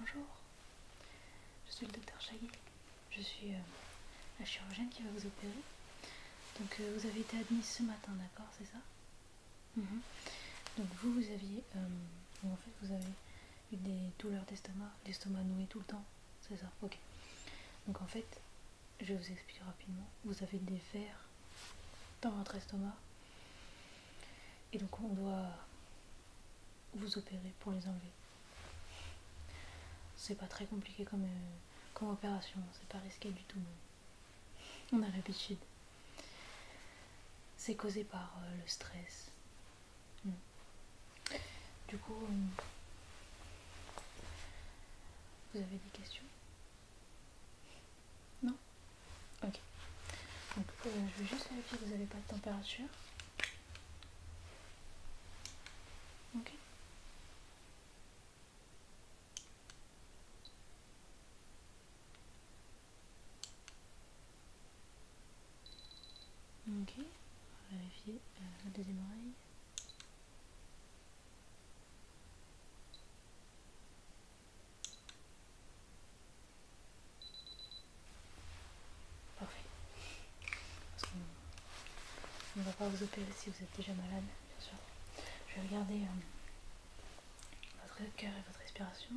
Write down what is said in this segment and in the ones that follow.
Bonjour, je suis le docteur Chagui. je suis euh, la chirurgienne qui va vous opérer. Donc euh, vous avez été admise ce matin, d'accord, c'est ça mhm. Donc vous, vous aviez, euh, en fait, vous avez eu des douleurs d'estomac, l'estomac noué tout le temps, c'est ça, ok. Donc en fait, je vous explique rapidement, vous avez des fers dans votre estomac et donc on doit vous opérer pour les enlever. C'est pas très compliqué comme, euh, opération, c'est pas risqué du tout. on a l'habitude. C'est causé par euh, le stress. Mm. Du coup, euh, vous avez des questions Non Ok. Donc, euh, je vais juste vérifier que vous n'avez pas de température. Ok. Ok, on va vérifier euh, la deuxième oreille. Parfait. On ne va pas vous opérer si vous êtes déjà malade, bien sûr. Je vais regarder euh, votre cœur et votre respiration.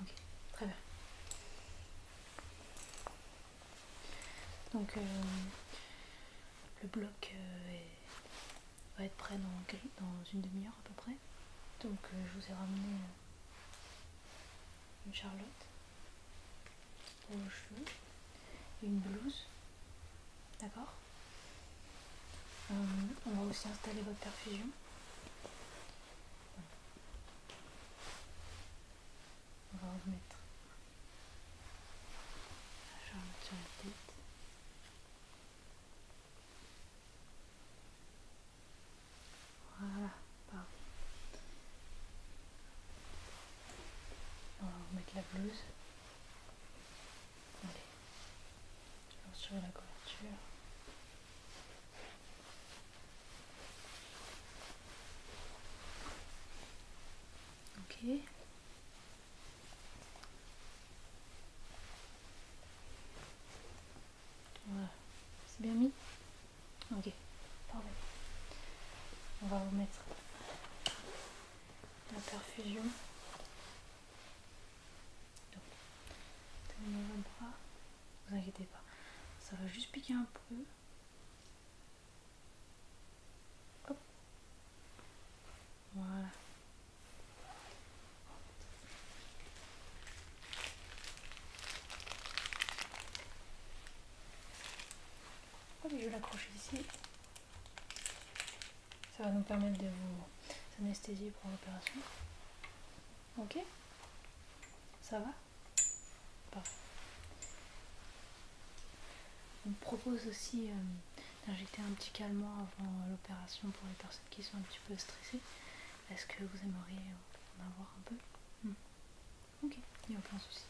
Ok, très bien. Donc euh, le bloc euh, va être prêt dans, dans une demi-heure à peu près. Donc euh, je vous ai ramené une charlotte vos cheveux et une blouse. D'accord On va aussi installer votre perfusion. On va remettre la jambe sur la tête. Voilà, pardon. On va remettre la blouse. Allez, je lance la couverture. Ok. C'est bien mis Ok. Parfait. On va vous mettre la perfusion. Donc, tenez bras. Vous inquiétez pas. Ça va juste piquer un peu. Voilà. je vais l'accrocher ici. Ça va nous permettre de vous anesthésier pour l'opération. Ok Ça va on propose aussi euh, d'injecter un petit calmant avant l'opération pour les personnes qui sont un petit peu stressées. Est-ce que vous aimeriez en avoir un peu hmm. Ok, il n'y a aucun souci.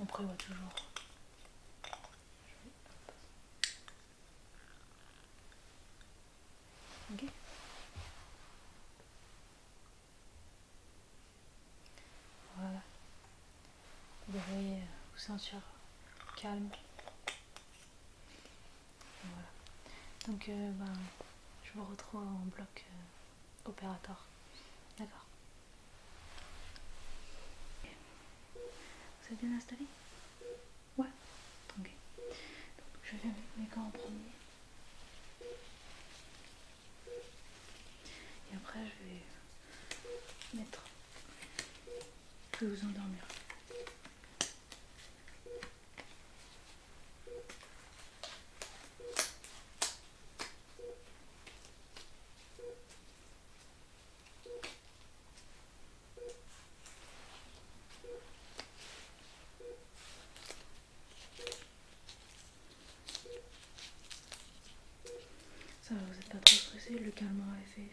On prévoit toujours. Ok voilà. Vous voyez, euh, vous sentir calme. Voilà. Donc, euh, ben, je vous retrouve en bloc euh, opérateur. D'accord Vous êtes bien installé Ouais Ok. Donc, je vais mettre mes gants en premier. Et après, je vais mettre. que vous endormir. Ça vous n'êtes pas trop stressé, le calme a fait effet.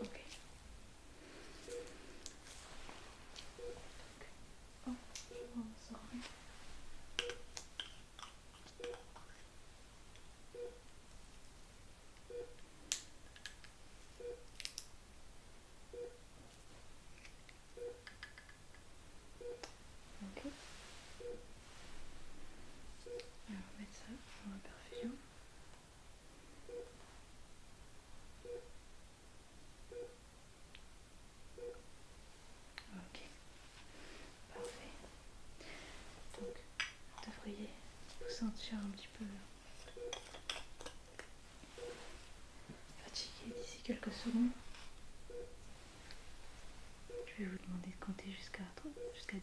Okay. Oh, oh sorry. Okay. On va mettre ça dans la perfusion. Ok, parfait. Donc, vous devriez vous sentir un petit peu fatigué d'ici quelques secondes. Je vais vous demander de compter jusqu'à jusqu'à 10.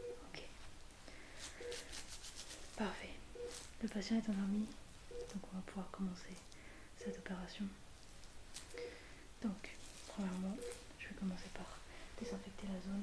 Ok. Parfait. Le patient est endormi, donc on va pouvoir commencer cette opération. Donc, premièrement, je vais commencer par désinfecter la zone.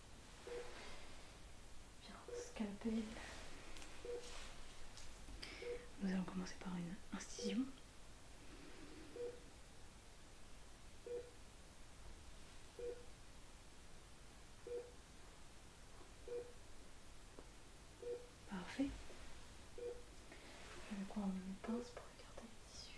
Bien, scalpel. Nous allons commencer par une incision. Parfait. Je vais prendre une pince pour écarter le tissu.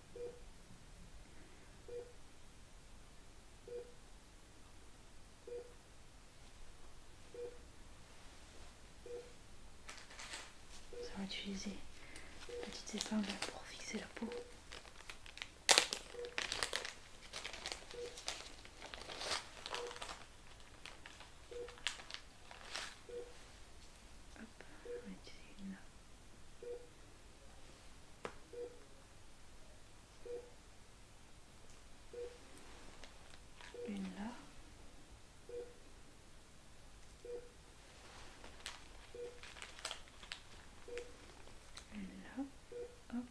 Ça va utiliser petite épingle pour fixer la peau. Hop, on va là. Une là. Une là. Hop.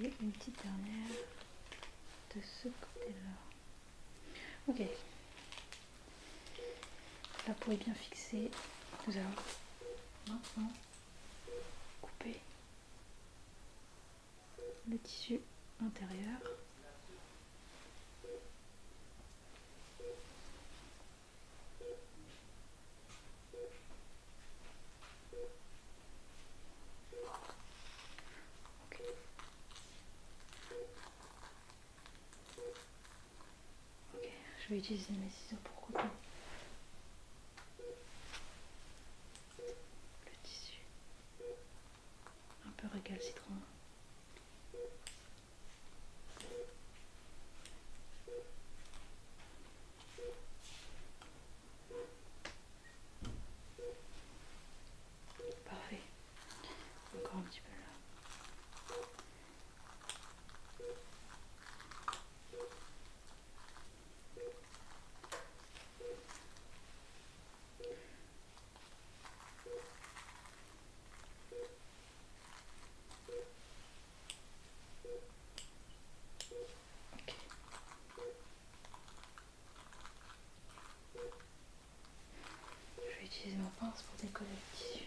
Et une petite dernière de ce côté-là. Ok. La peau est bien fixer, Nous allons maintenant couper le tissu intérieur. Ok, je vais utiliser mes ciseaux pour couper le tissu un peu citron. Parfait. Encore un petit peu là. Je vais utiliser ma pince pour décoller le tissu.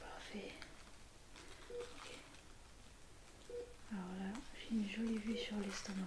Parfait. Alors là, j'ai une jolie vue sur l'estomac.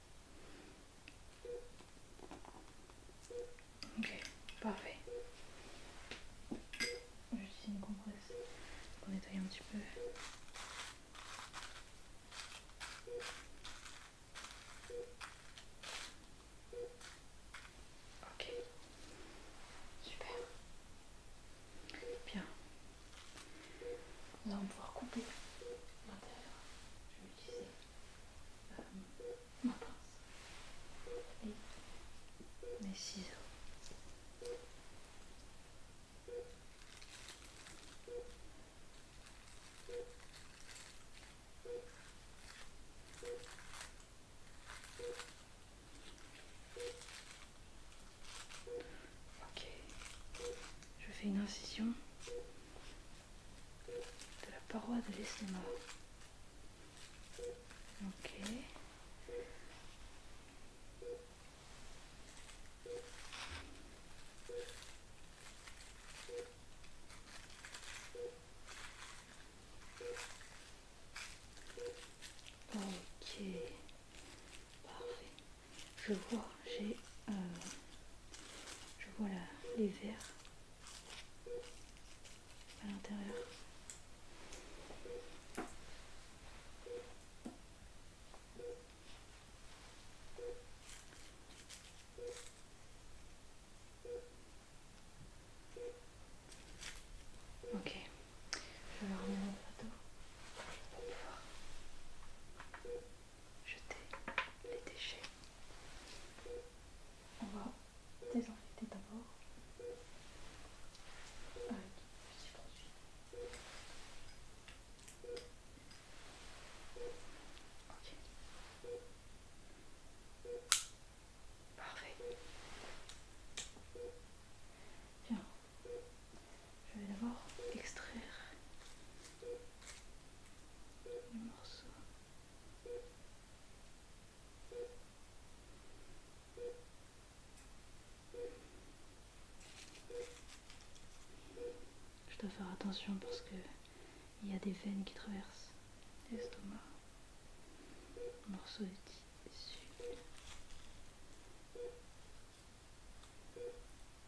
Ok, parfait. J'utilise une compresse pour nettoyer un petit peu. Ok, super. Bien. Nous allons pouvoir couper l'intérieur. Je vais utiliser ma pince et mes ciseaux. Ok, je fais une incision de la paroi de l'estomac. Ok. Ok. Parfait. Je vois j'ai euh, je vois là, les verres à l'intérieur Ok, je vais leur remettre la plateau pour pouvoir jeter les déchets. On va désenfiler d'abord Ok. Parfait. Bien. Je vais d'abord extraire je dois faire attention parce que il y a des veines qui traversent l'estomac. Morceau de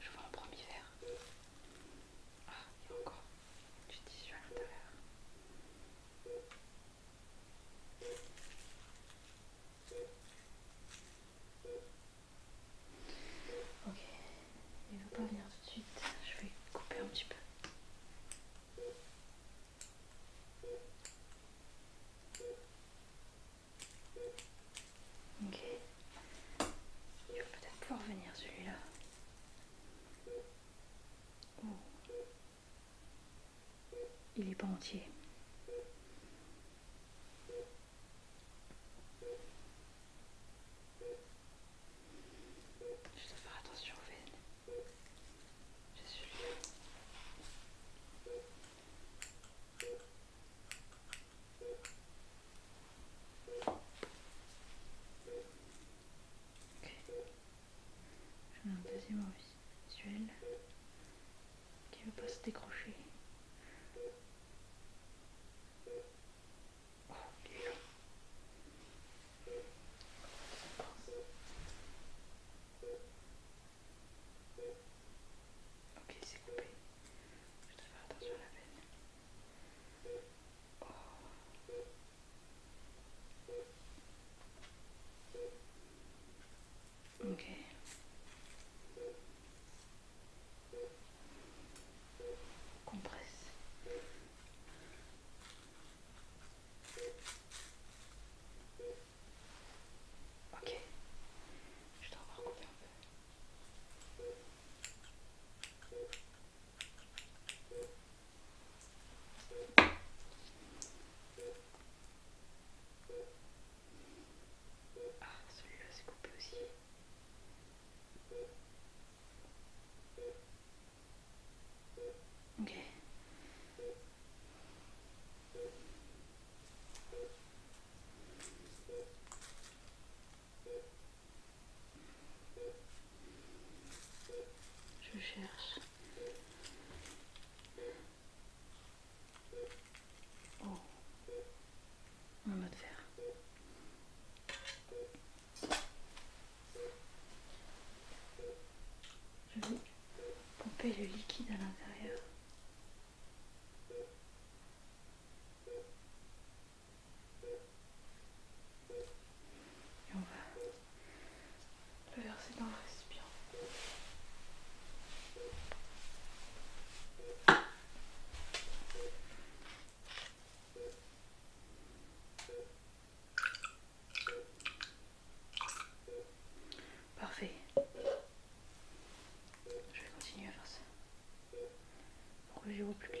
Je vois un premier verre. Ah, il y a encore du tissu à l'intérieur. Ok, il ne veut pas venir tout de suite, je vais couper un petit peu. Ok. Il va peut-être pouvoir venir celui-là. Oh. Il est pas entier. Je dois faire attention au veines, J'ai celui-là. Ok. J'en un deuxième visuel qui ne veut pas se décrocher. Oh, Ok, c'est coupé. Je vais faire attention à la peine. Oh. Ok. Compresse. Ok, je dois encore couper un peu. Ah, celui-là s'est coupé aussi. Ok. Je cherche. Oh, un mode fer. Je vais pomper le liquide à l'intérieur. Et on va le verser dans le récipient. Parfait. Je vais continuer à faire ça pour que je plus clair.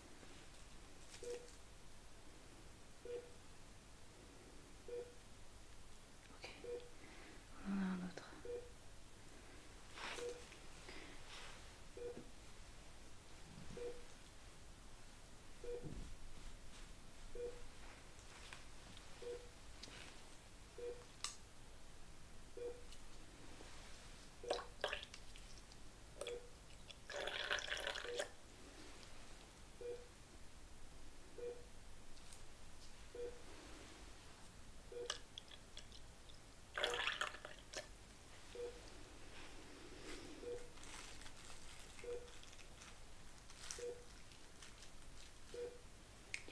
Ok, on en a un autre. Il y en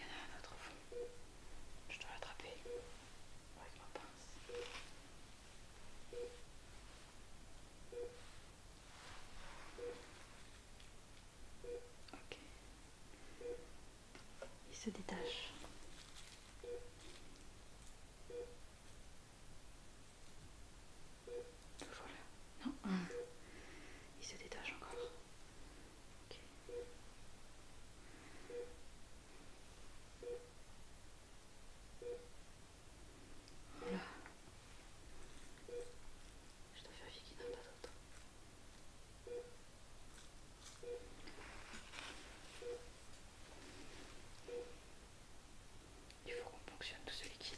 a un autre fond. Je dois l'attraper avec ma pince. Il se détache. Non. Il se détache encore. Voilà. Je dois faire qu'il n'y pas d'autre Il faut qu'on fonctionne tout ce liquide.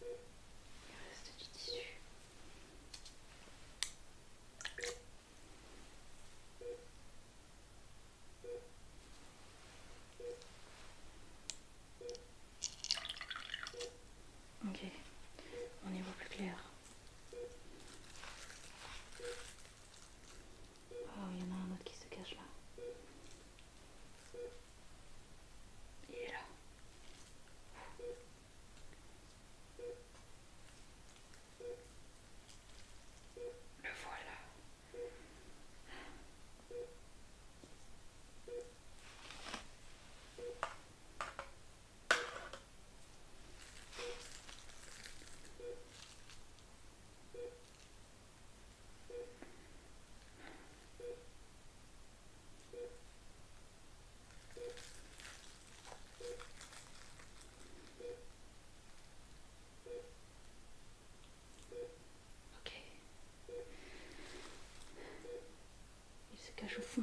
Il reste du tissu. Ok, on y voit plus clair. Oh, il y en a un autre qui se cache là. Et est là. Le voilà. Ok. Il se cache au fond.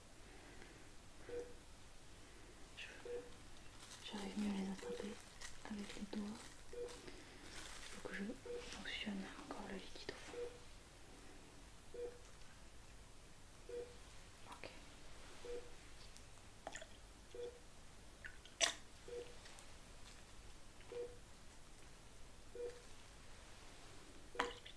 J'arrive mieux à les attraper avec les doigts. Il faut que je fonctionne encore le liquide au fond.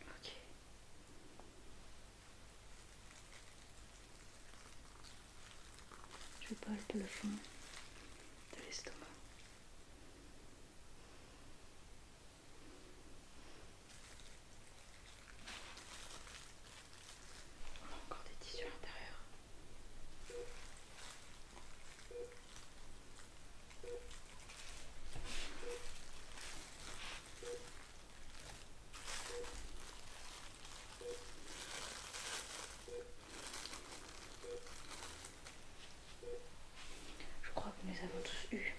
Ok. Je palpe le fond de l'estomac. encore des tissus intérieurs. Je crois que nous avons tous eu.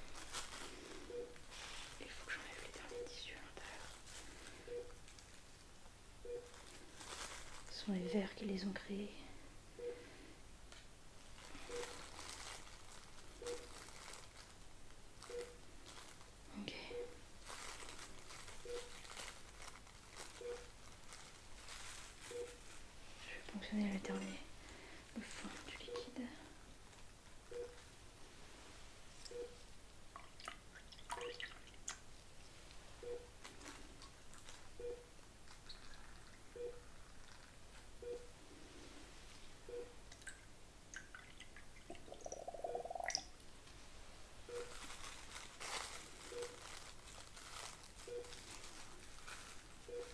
Il faut que j'enlève les derniers tissus à l'intérieur. Ce sont les vers qui les ont créés. Ok. Je vais ponctionner la dernier, le fond du liquide.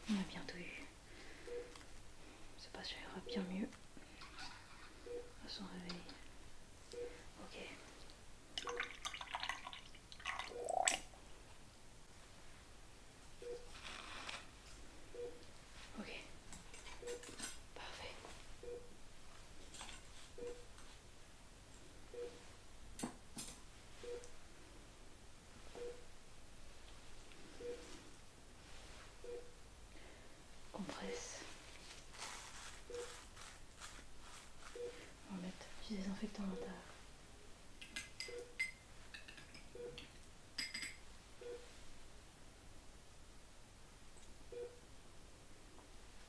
On a bientôt eu. C'est pas sûr, ira bien mieux à son réveil. Ok. Ok. Parfait. On presse. On va mettre du désinfectant à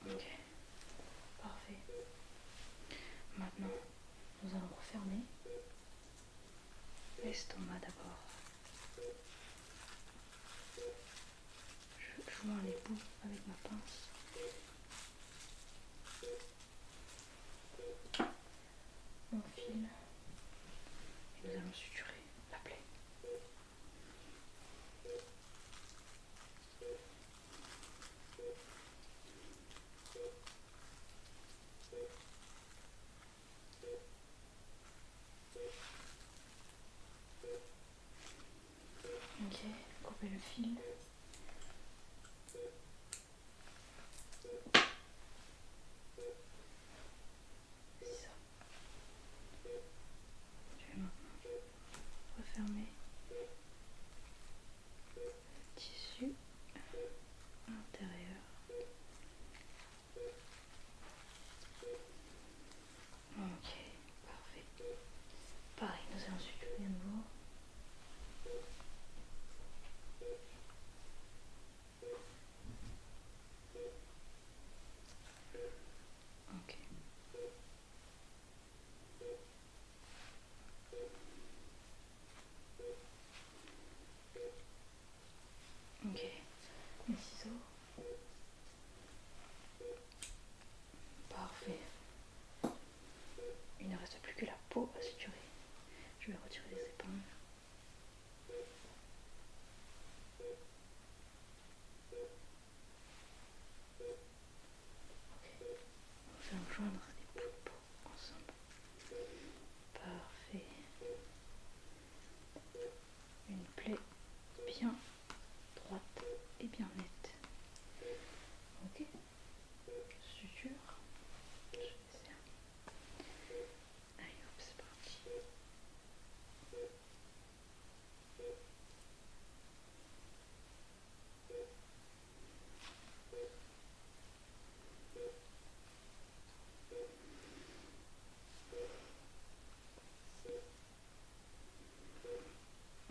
Ok, parfait. Maintenant, nous allons refermer l'estomac d'abord. Je joins les bouts avec ma pince mon fil et nous allons suturer la plaie. Ok, couper le fil. Je vais maintenant refermer le tissu intérieur Ok, parfait. Pareil, nous allons suivre un nouveau. Ok. Ok. Mes ciseaux. Parfait. Il ne reste plus que la peau à suturer. Je vais retirer les épingles. Ok. On va rejoindre les poules ensemble. Parfait. Une plaie bien droite et bien nette. Ok suture. Je vais faire. Allez hop, c'est parti.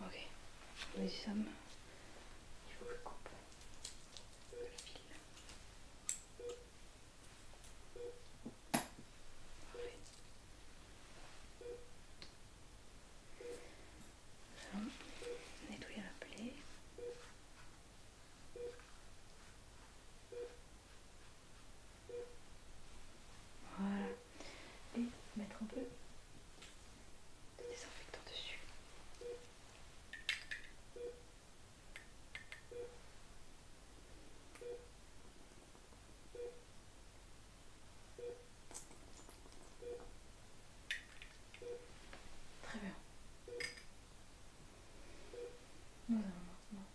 Ok, nous y sommes. Il faut que je coupe le nettoyer la plaie. Voilà. Et mettre un peu désinfectant dessus. Très bien. Nous allons maintenant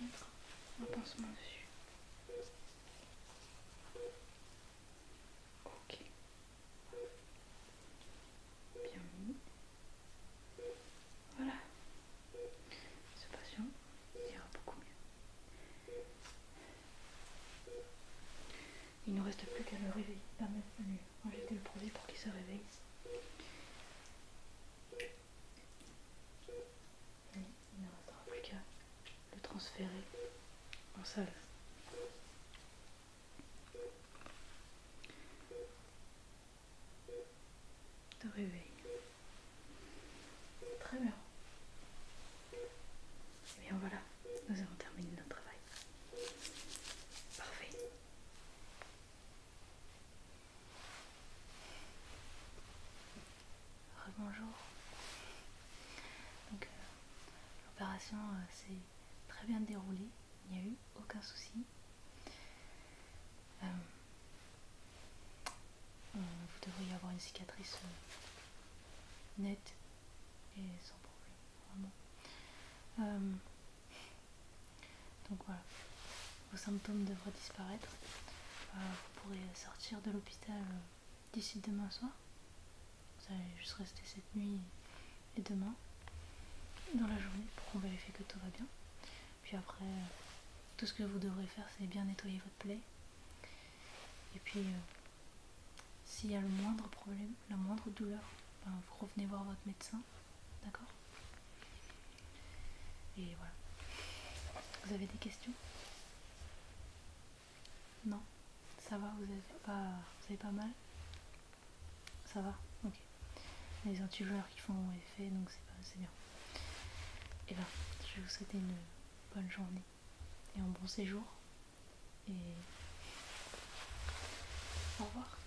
mettre un pansement dessus. Ok bien mis. Voilà, ce patient ira beaucoup mieux. Il ne nous reste plus qu'à le réveiller, Bienvenue, On lui le produit pour qu'il se réveille. il ne restera plus qu'à le transférer en salle. De réveil. Très bien. Et bien voilà, nous avons terminé notre travail. Parfait. Bonjour. Donc, euh, L'opération euh, s'est très bien déroulée, il n'y a eu aucun souci. Euh, vous devriez avoir une cicatrice euh, nette et sans problème, vraiment. donc voilà, vos symptômes devraient disparaître. vous pourrez sortir de l'hôpital d'ici demain soir. Vous allez juste rester cette nuit et demain dans la journée pour qu'on vérifie que tout va bien. Puis après, euh, tout ce que vous devrez faire, c'est bien nettoyer votre plaie. Et puis, euh, s'il y a le moindre problème, la moindre douleur, ben, vous revenez voir votre médecin. D'accord Et voilà. Vous avez des questions non, ça va, vous êtes pas, vous pas mal Ça va, ok. Les joueurs qui font effet, donc c'est bien. Et eh bien, je vais vous souhaiter une bonne journée et un bon séjour. Et au revoir.